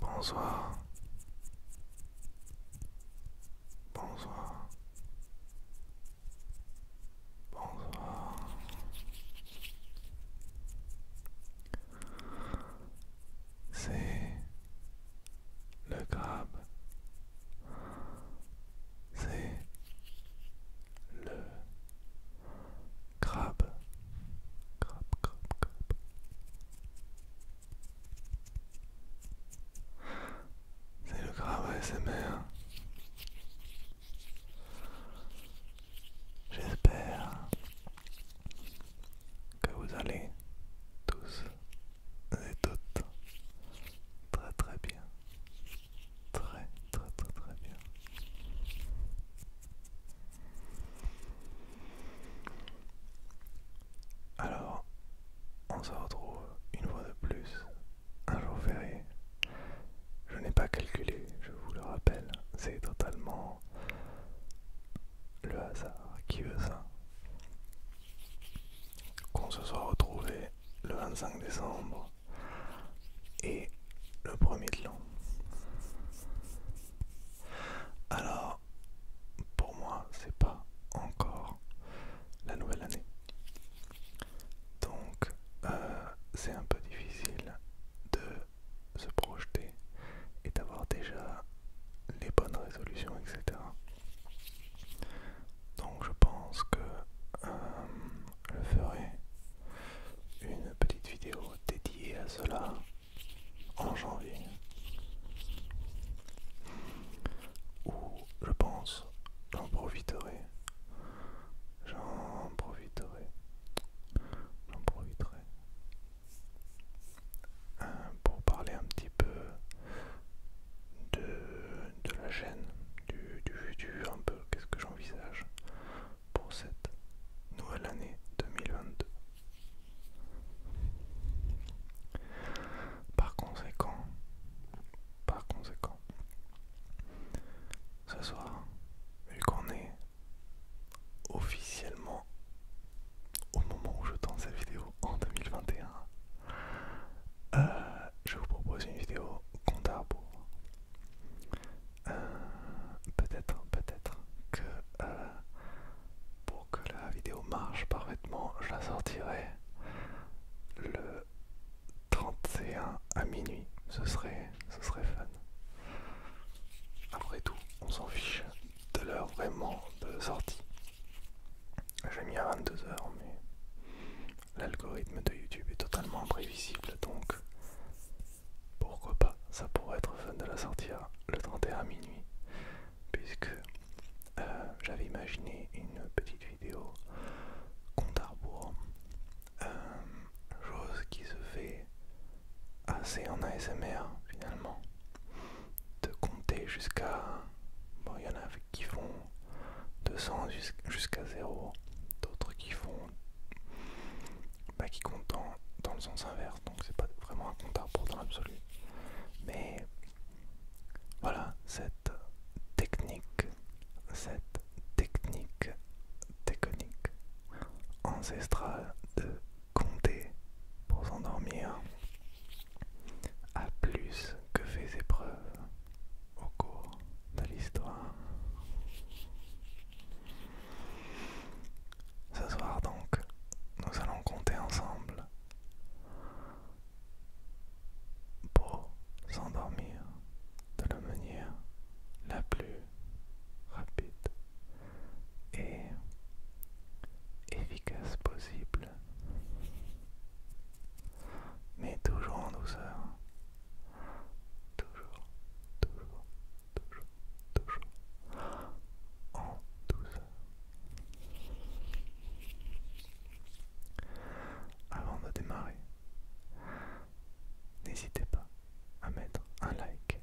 Bonsoir. Bonsoir. Bonsoir. C'est le crabe, c'est le crabe, crabe, crabe, crabe. C'est le crabe mer. J'espère que vous allez tous et tout. très très bien. Très très très très bien. Alors, on se retrouve une fois de plus un jour férié. Je n'ai pas calculé, je vous le rappelle, c'est totalement le hasard qui veut ça. Qu'on se soit retrouvé le 25 décembre et le 1er de l'an. Alors, pour moi, c'est pas encore la nouvelle année. Donc, euh, c'est un peu difficile de se projeter et d'avoir déjà les bonnes résolutions, etc. Donc je pense que euh, je ferai une petite vidéo dédiée à cela en janvier. Où je pense j'en profiterai. J'en profiterai. J'en profiterai pour parler un petit peu de, la chaîne, du, du futur, un peu qu'est-ce que j'envisage pour cette nouvelle année 2022. Par conséquent, par conséquent, ce soir, vu qu'on est officiellement au moment où je tourne cette vidéo en 2021, euh, je vous propose une vidéo compte euh, peut-être, peut-être que euh, pour que la vidéo marche parfaitement, je la sortirai le 31 à minuit. Ce serait, ce serait fun. Après tout, on s'en fiche de l'heure vraiment de sortie. J'ai mis à 22h, mais l'algorithme de YouTube est totalement imprévisible, donc pourquoi pas, ça pourrait être fun de la sortir le 31 minuit, puisque euh, j'avais imaginé une petite vidéo compte à euh, chose qui se fait assez en ASMR finalement de compter jusqu'à... Bon, il y en a qui font 200 jusqu'à 0, d'autres qui font... Bah, qui comptent dans, le sens inverse, donc c'est pas vraiment un compte à l'absolu. Mais voilà, cette technique, cette technique déconique ancestrale de compter pour s'endormir à plus que fait épreuves au cours de l'histoire. Ce soir donc, nous allons compter ensemble pour s'endormir de la manière la plus rapide et efficace possible, mais toujours en douceur. Toujours, toujours, toujours, toujours en douceur. Avant de démarrer, n'hésitez pas à mettre un like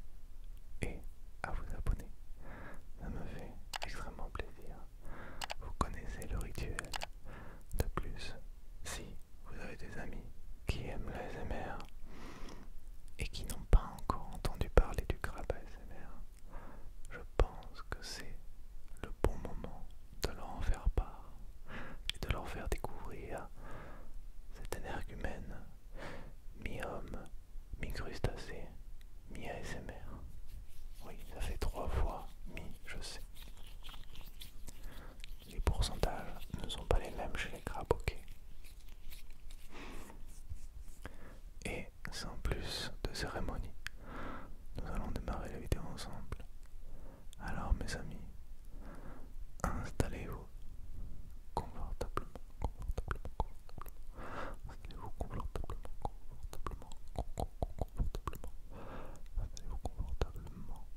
et à vous abonner ça me fait extrêmement plaisir. Vous connaissez le rituel. De plus, si vous avez des amis qui aiment l'ASMR et qui n'ont pas encore entendu parler du crabe ASMR, je pense que c'est le bon moment de leur en faire part et de leur faire découvrir cette humaine mi-homme, mi-crustacé, mi-ASMR. Oui, ça fait trois fois mi, je sais. Les pourcentages ne sont pas les mêmes chez les crabes, ok. Et sans plus de cérémonie, nous allons démarrer la vidéo ensemble. Alors mes amis, installez-vous confortablement, confortablement, confortablement. confortablement, confortablement, confortablement. confortablement,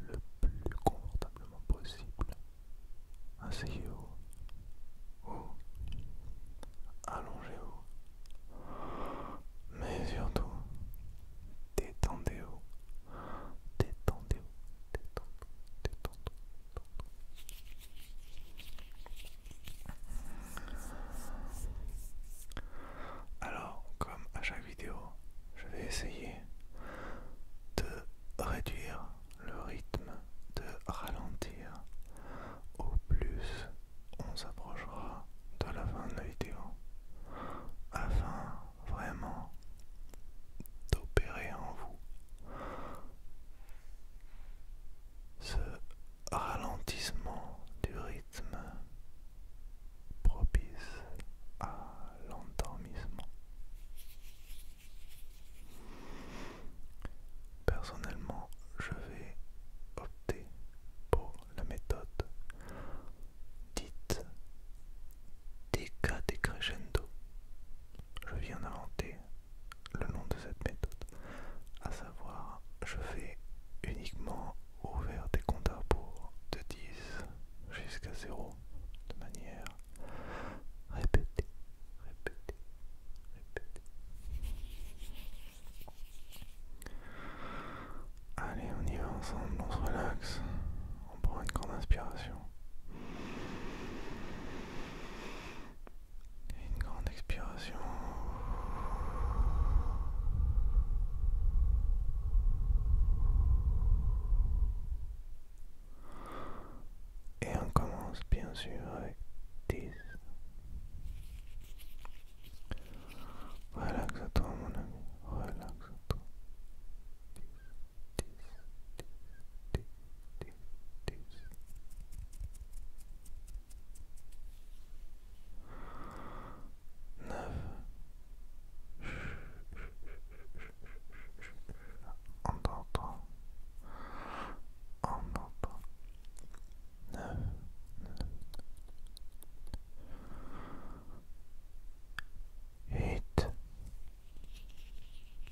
le plus confortablement possible. Asseyez-vous allongez-vous. Mais surtout, détendez-vous. Détendez-vous, détendez-vous, détendez-vous. Alors, comme à chaque vidéo, je vais essayer de réduire le rythme, de ralentir. Au plus, on s'approchera de la fin de la vidéo afin vraiment d'opérer en vous ce ralentissement du rythme propice à l'endormissement. Personnellement, je vais opter pour la méthode dite déca Je viens d'inventer le nom de cette méthode, à savoir je fais uniquement ouvert des comptes à de 10 jusqu'à 0 de manière répétée, répétée, répétée. Allez, on y va ensemble, on se relaxe, on prend une grande inspiration une grande expiration. Et on commence bien sûr avec 10. Relaxe-toi mon ami, relaxe-toi. Neuf. entend. Neuf. Huit.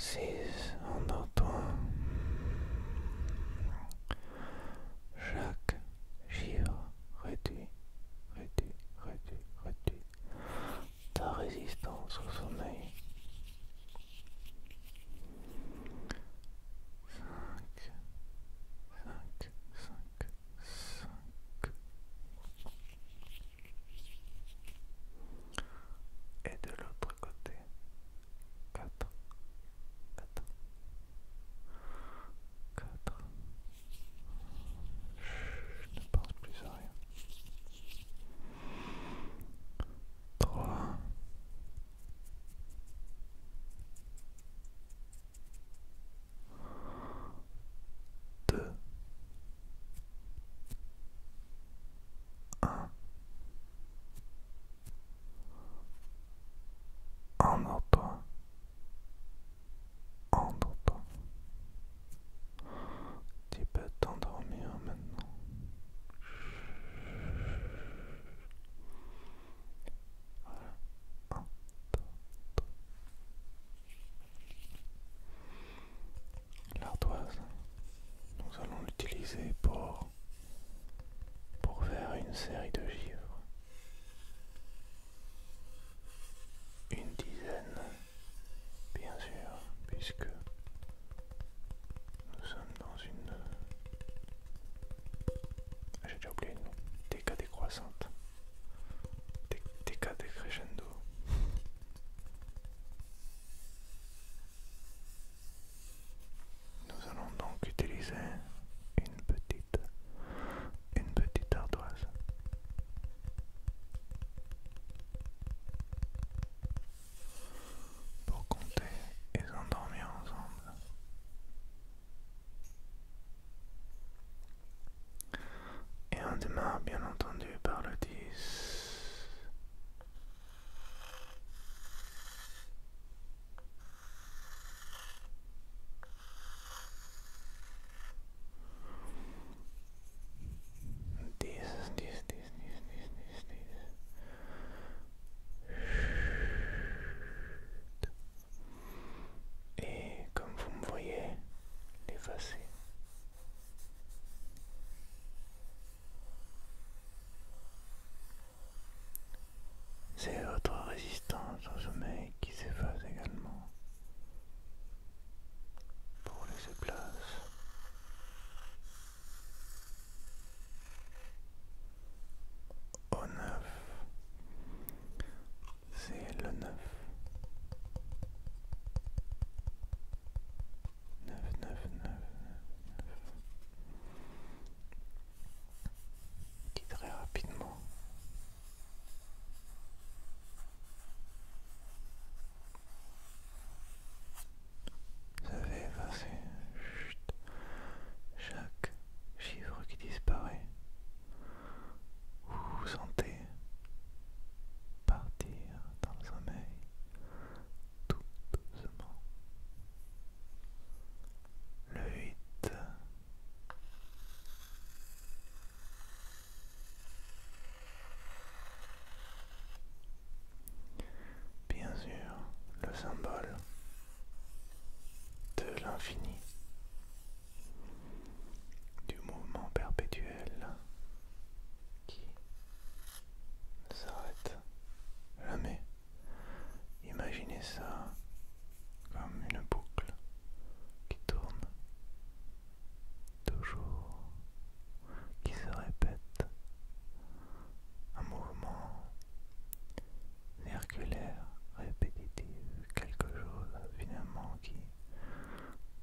Six, on entend Jacques Gira, réduit, réduit, réduit, réduit ta résistance au sommeil cinq, cinq, cinq. Et de l'autre côté, Quatre… Quatre… Quatre… Je ne pense plus à rien. Trois… Deux. Un. En entend. En entend. Tu peux t'endormir maintenant. L'ardoise, nous allons l'utiliser pour, pour faire une série de givres. Une dizaine, bien sûr, puisque nous sommes dans une... Ah, j'ai déjà oublié le nom. décroissante. Déca décrescendo. Nous allons donc utiliser une petite, une petite ardoise pour compter et s'endormir ensemble et on demain bien entendu par le 10 10 10 et comme vous me voyez, l'effacer. C'est votre résistance au sommeil qui s'efface également pour laisser place au neuf, c'est le neuf, 9 9 9 très rapidement vous avez passé chaque chiffre qui disparaît. Vous vous sentez partir dans le sommeil tout doucement. Le 8. Bien sûr, le symbole de l'infini, du mouvement perpétuel qui ne s'arrête jamais. Imaginez ça comme une boucle qui tourne toujours qui se répète, un mouvement circulaire, répétitif, quelque chose finalement qui,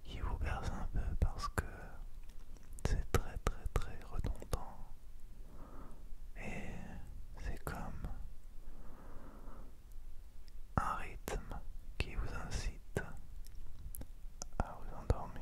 qui vous berce un peu parce que c'est très très très redondant et c'est comme un rythme qui vous incite à vous endormir.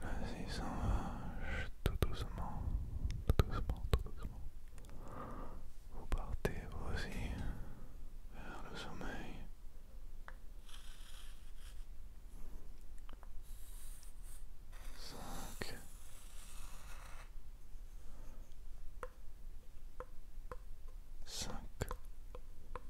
Vas-y, s'en vache, tout doucement, tout doucement, tout doucement. Vous partez aussi vers le sommeil. Cinq. Cinq.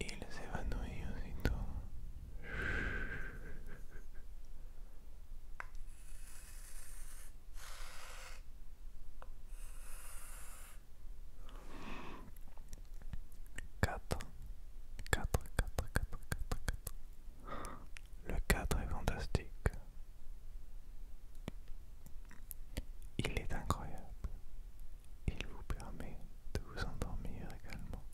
Il s'évanouit aussitôt. Quatre, quatre, quatre, quatre, quatre, quatre. Le cadre est fantastique. Il est incroyable. Il vous permet de vous endormir également.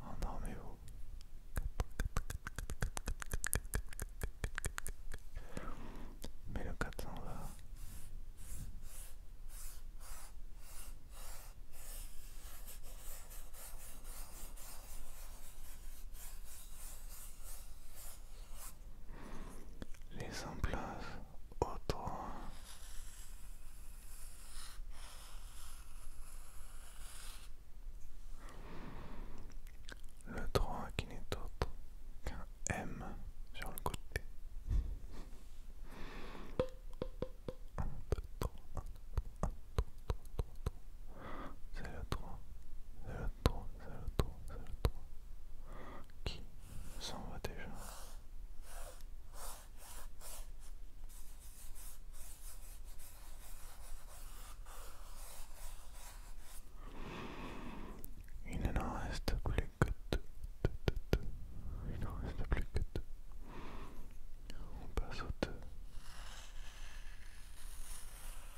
Endormez-vous. Mais le 420 en les emplaces au 3. Le 3 qui n'est autre qu'un M sur le côté. C'est le 3, 3, qui s'en va déjà. Il n'en reste plus que deux. Il reste plus que deux. On passe deux.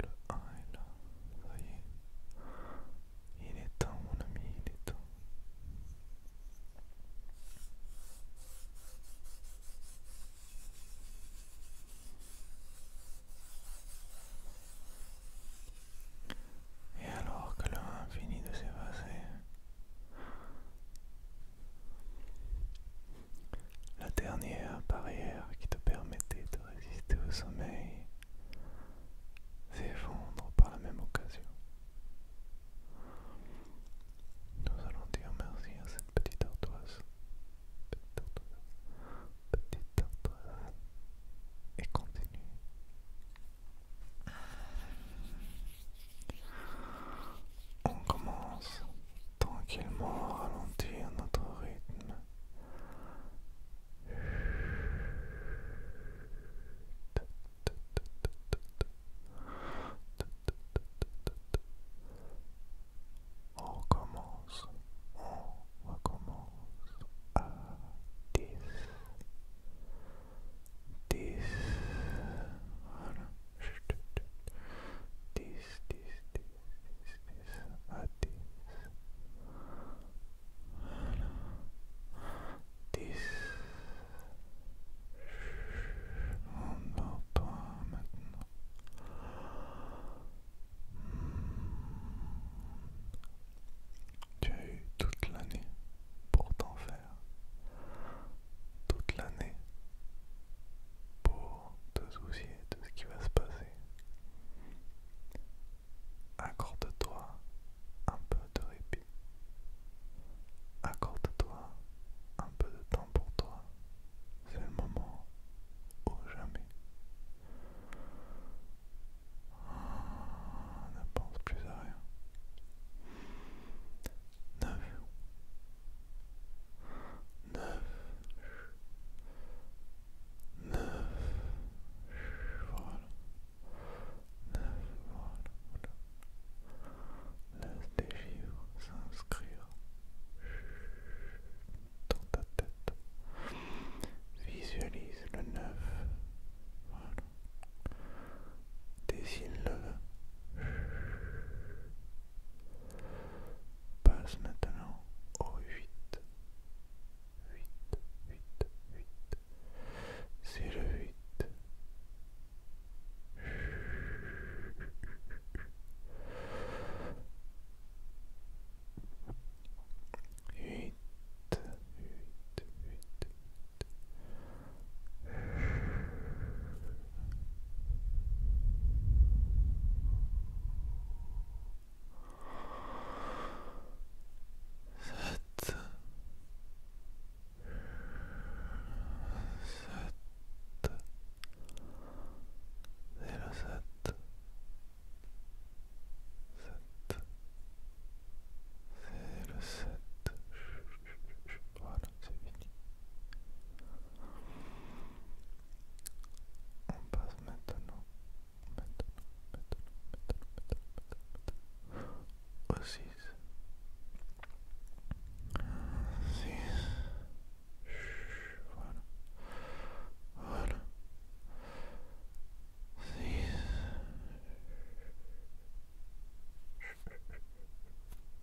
le là. Il est temps, mon ami, il est temps. Et alors que le 1 finit de s'effacer, la dernière barrière qui te permettait de résister au sommeil s'effondre par la même occasion. Nous allons dire merci à cette petite ardoise. Petite artoise. Petite artoise. Et continue. On commence tranquillement ralentir notre rythme. On recommence, on recommence à 10, 10, voilà, 10, 10, 10. 10 à 10. Voilà. 10. Je suis en 20 maintenant. Tu as eu toute l'année pour t'en faire. Toute l'année pour te soucier de ce qui va se passer. Accorde-toi un peu de répit. Accorde-toi un peu de temps pour toi. C'est le moment ou jamais. Ne pense plus à rien. 9 neuf, neuf, voilà, neuf, voilà, Laisse s'inscrire dans ta tête. Visualise le neuf. Voilà. Dessine-le passe maintenant au huit. Huit, huit, huit. C'est le 8. Huit, huit, huit, huit sept, sept, zéro sept, sept, le sept, voilà, c'est fini. On passe maintenant, maintenant, maintenant, Voilà. Voilà. 6.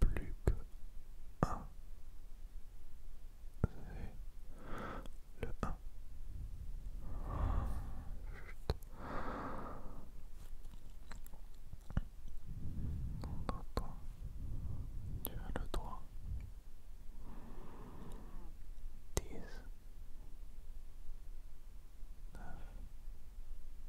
plus que un. Le 1. Chut. Tu as le droit. 10. 9.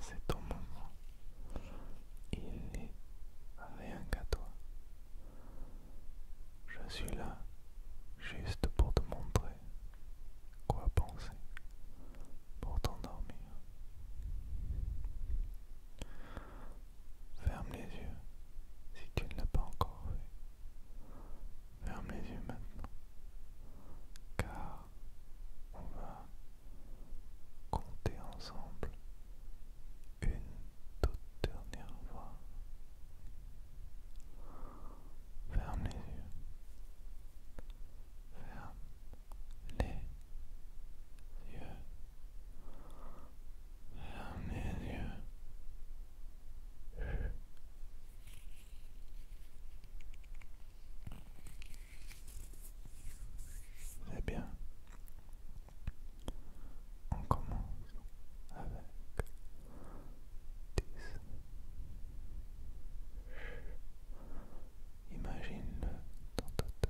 C'est ton moment. Il n'est rien qu'à toi. Je suis là juste pour te montrer quoi penser pour t'endormir. Ferme les yeux si tu ne l'as pas encore fait. Ferme les yeux maintenant. Car on va compter ensemble une toute dernière fois. Ferme les yeux. Ferme les yeux. Oh, eh bien. On commence avec Imagine-le dans ta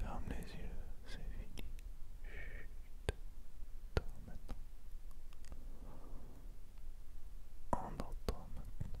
Ferme les yeux, c'est fini. Chut. Dors maintenant. Endors-toi maintenant.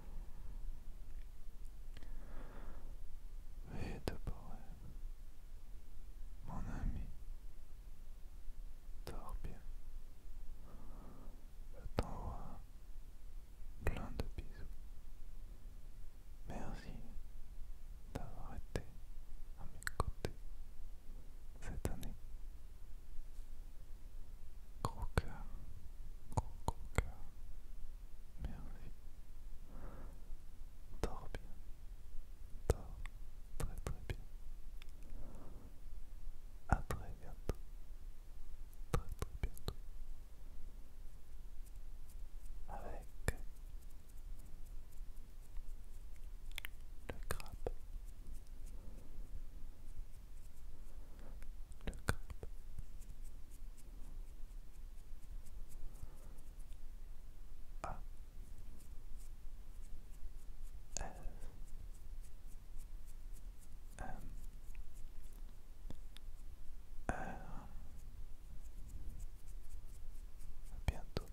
Et de bonheur, mon ami, dors bien. Je t'envoie plein de bisous. Merci d'avoir été à mes côtés cette année. Gros cœur, gros gros cœur, merci. Dors bien, dors très très bien. À très bientôt, très très bientôt. Avec le crabe. A. bientôt.